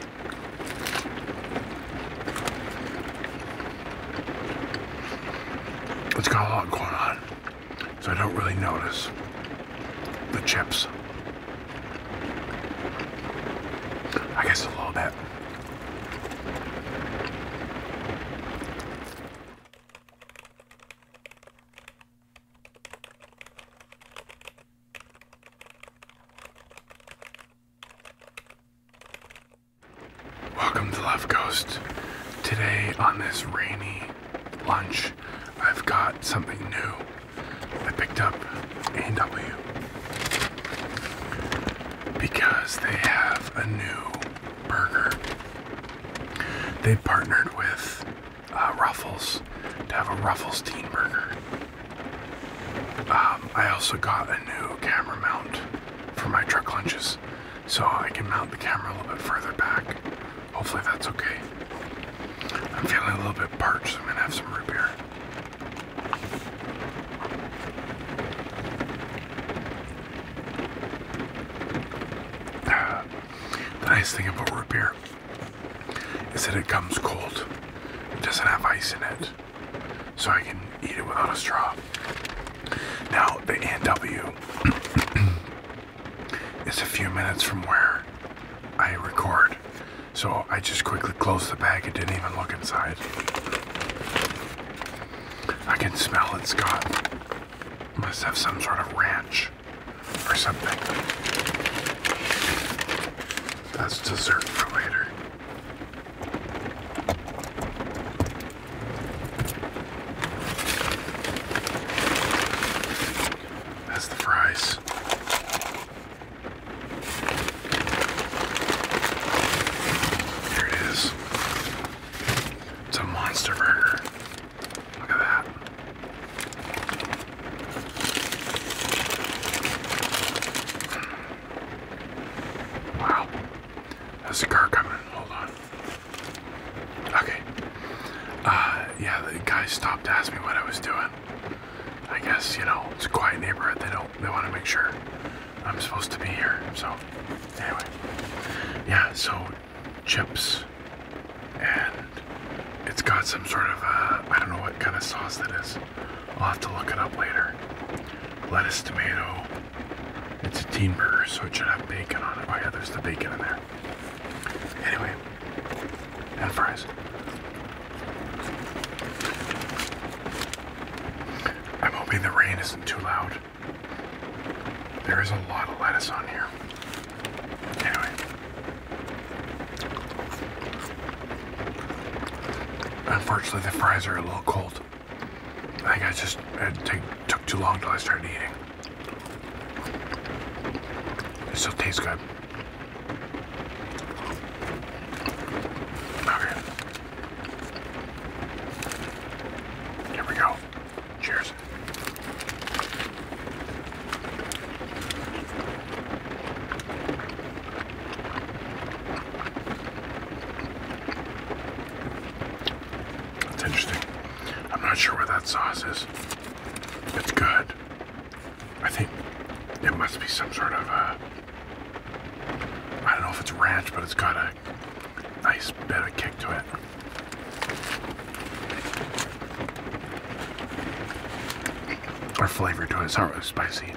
It's got a lot going on, so I don't really notice the chips. I guess a little bit. Welcome to Love Ghost. Today on this rainy lunch, I've got something new. I picked up a because they have a new burger. They partnered with uh, Ruffles to have a Ruffles teen burger. Um, I also got a new camera mount for my truck lunches, so I can mount the camera a little bit further back. Hopefully that's okay. I'm feeling a little bit parched, so I'm gonna have some root beer. the nice thing about root beer is that it comes cold. It doesn't have ice in it so I can eat it without a straw. Now, the NW is a few minutes from where I record, so I just quickly closed the bag It didn't even look inside. I can smell it's got, must have some sort of ranch or something. That's dessert for later. That's the fries. Here it is. It's a monster burger. Look at that. Wow. There's a car coming. Hold on. Okay. Uh, yeah, the guy stopped to ask me what I was doing. I guess, you know, it's a quiet neighborhood. They don't, they want to make sure I'm supposed to be here. So, anyway. Yeah, so chips. And it's got some sort of, uh, I don't know what kind of sauce that is. I'll have to look it up later. Lettuce, tomato. It's a teen burger, so it should have bacon on it. Oh yeah, there's the bacon in there. Anyway, and fries. I'm hoping the rain isn't too loud. There is a lot of lettuce on here. Anyway, Unfortunately, the fries are a little cold. I think I just took too long till I started eating. It still tastes good. Okay. Here we go. Cheers. That's interesting. I'm not sure where that sauce is. It's good. I think it must be some sort of a. Uh, I don't know if it's ranch, but it's got a nice bit of kick to it. Or flavor to it. Sorry, spicy.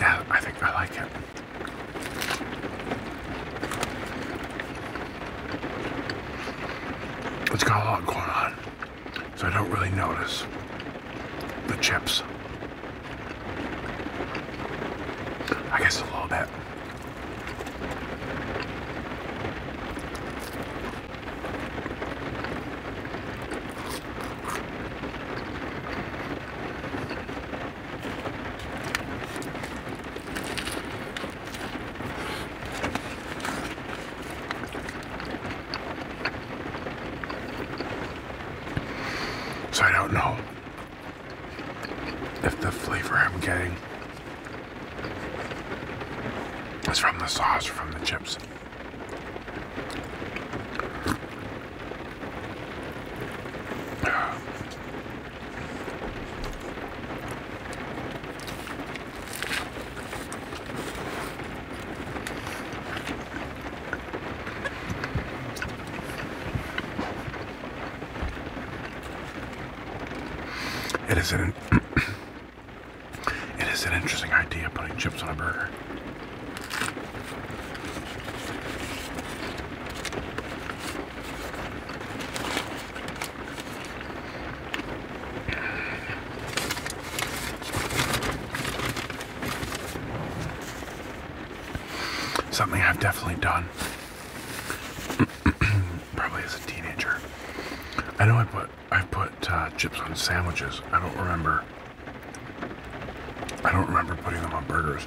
Yeah, I think I like it. It's got a lot going on, so I don't really notice the chips. I guess a little bit. So I don't know if the flavor I'm getting is from the sauce or from the chips. It is an it is an interesting idea putting chips on a burger. Something I've definitely done. Probably as a teenager. I know I put I put uh, chips on sandwiches. I don't remember. I don't remember putting them on burgers.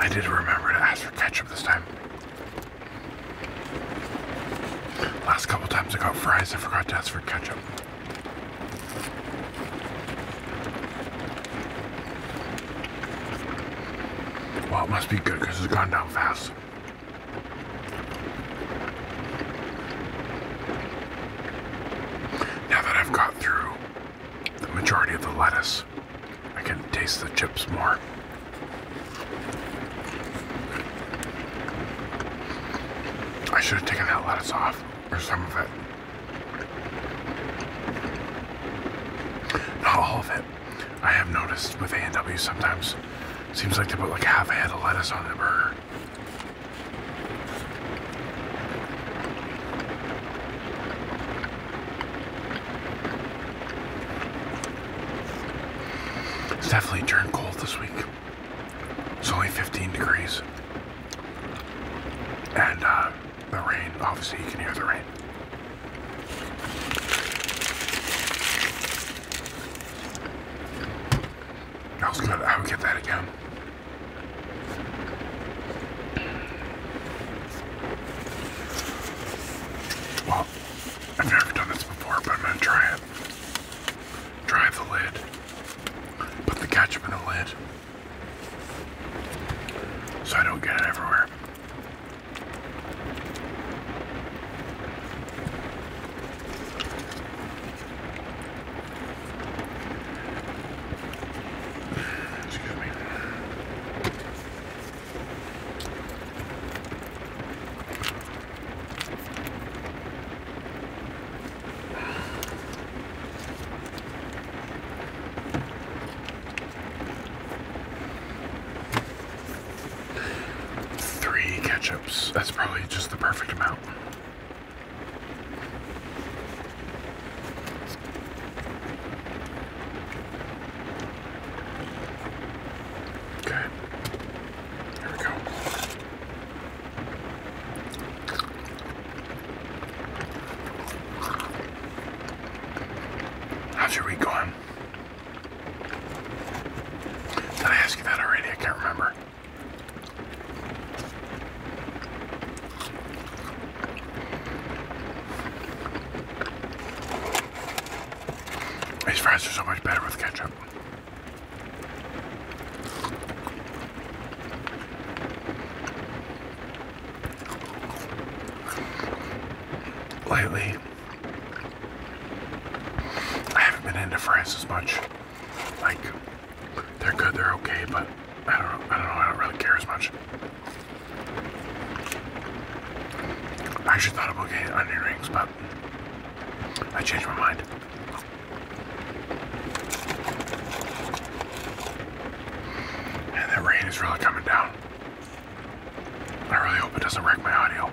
I did remember to ask for ketchup this time. Last couple times I got fries, I forgot to ask for ketchup. Well, it must be good because it's gone down fast. Now that I've got through the majority of the lettuce. I can taste the chips more. I should have taken that lettuce off, or some of it. all of it. I have noticed with a sometimes, seems like they put like half a head of lettuce on the burger. It's definitely turned cold this week. It's only 15 degrees. And uh, the rain, obviously, you can hear the rain. That was good. I would get that again. Well, I've never done this before, but I'm gonna try it. Try the lid. Put the ketchup in the lid. So I don't get it everywhere. Three ketchups. That's probably just the perfect amount. Okay. Here we go. How's your week going? Did I ask you that already? I can't remember. These fries are so much better with ketchup. Lately, I haven't been into fries as much. Like, they're good, they're okay, but I don't, I don't know, I don't really care as much. I actually thought about getting onion rings, but I changed my mind. And that rain is really coming down. I really hope it doesn't wreck my audio.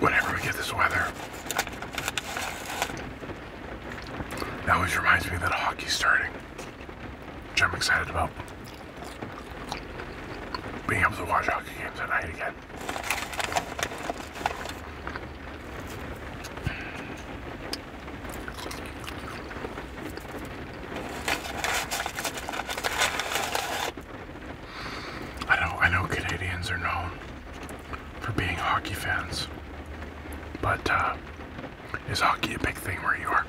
Whenever we get this weather, that always reminds me that hockey's starting, which I'm excited about. Being able to watch hockey games tonight again. I know I know Canadians are known for being hockey fans, but uh, is hockey a big thing where you are?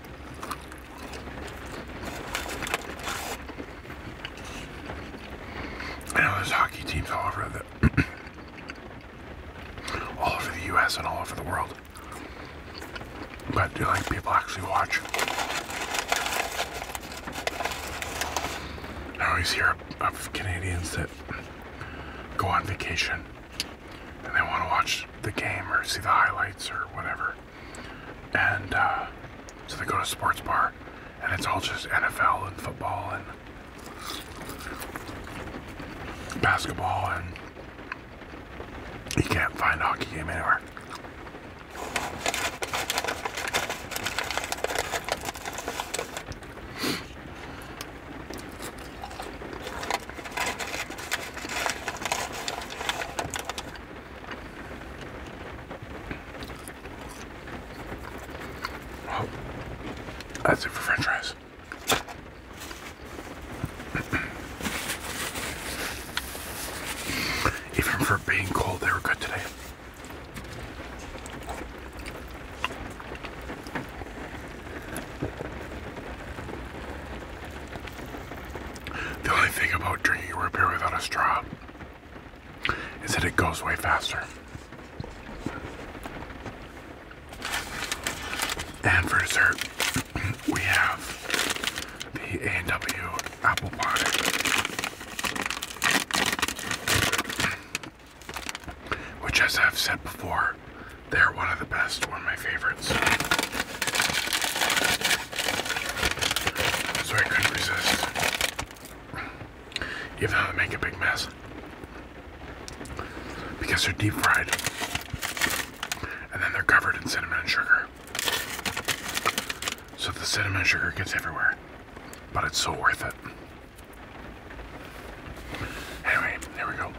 I know there's hockey teams all over the all over the US and all over the world. But do you think people actually watch? I always hear of Canadians that go on vacation and they want to watch the game or see the highlights or whatever. And uh, so they go to sports bar and it's all just NFL and football and basketball, and you can't find a hockey game anywhere. Well, oh. that's it for french fries. Even for being cold, they were good today. The only thing about drinking your beer without a straw is that it goes way faster. And for dessert, we have the A&W apple pie. Which, as I've said before, they're one of the best, one of my favorites. So I couldn't resist. Even though they make a big mess. Because they're deep fried. And then they're covered in cinnamon and sugar. So the cinnamon sugar gets everywhere. But it's so worth it. Anyway, there we go.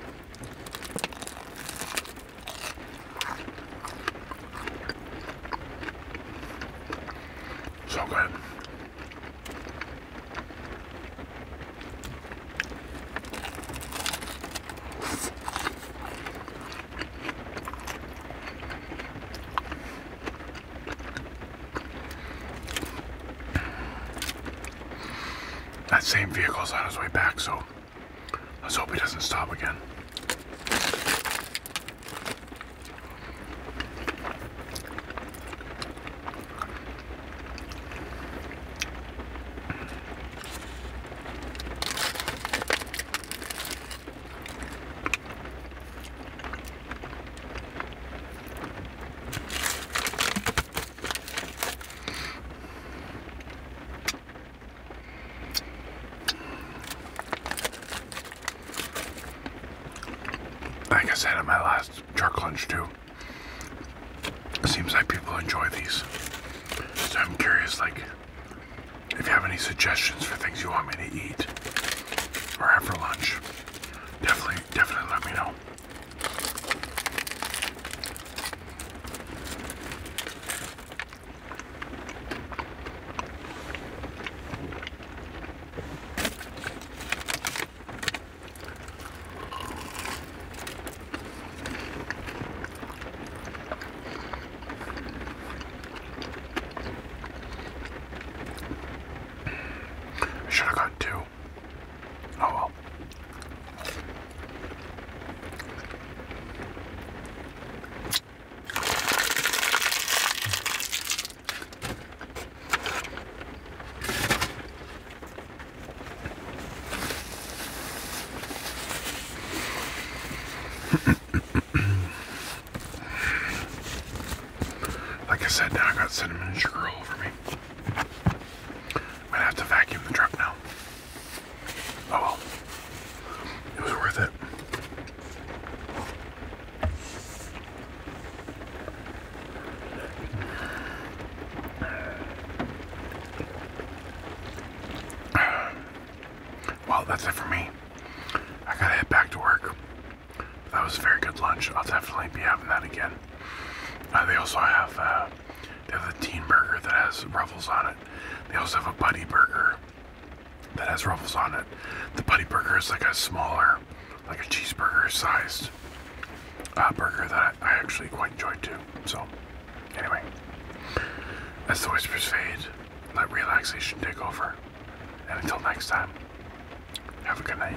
So good. That same vehicle is on his way back, so let's hope he doesn't stop again. Like I said in my last Truck lunch too. seems like people enjoy these. I'm curious, like, if you have any suggestions for things you want me to eat or have for lunch, definitely, definitely let me know. Should have got two. Oh well. like I said, now I got cinnamon sugar all over me. I'm gonna have to vacuum the truck now. Oh It was worth it. Well, that's it for me. I gotta head back to work. That was a very good lunch. I'll definitely be having that again. Uh, they also have uh, they have the teen burger that has ruffles on it. They also have a buddy burger that has ruffles on it. The buddy burger is like a smaller, like a cheeseburger sized uh, burger that I, I actually quite enjoyed too. So, anyway, as the whispers fade, let relaxation take over. And until next time, have a good night.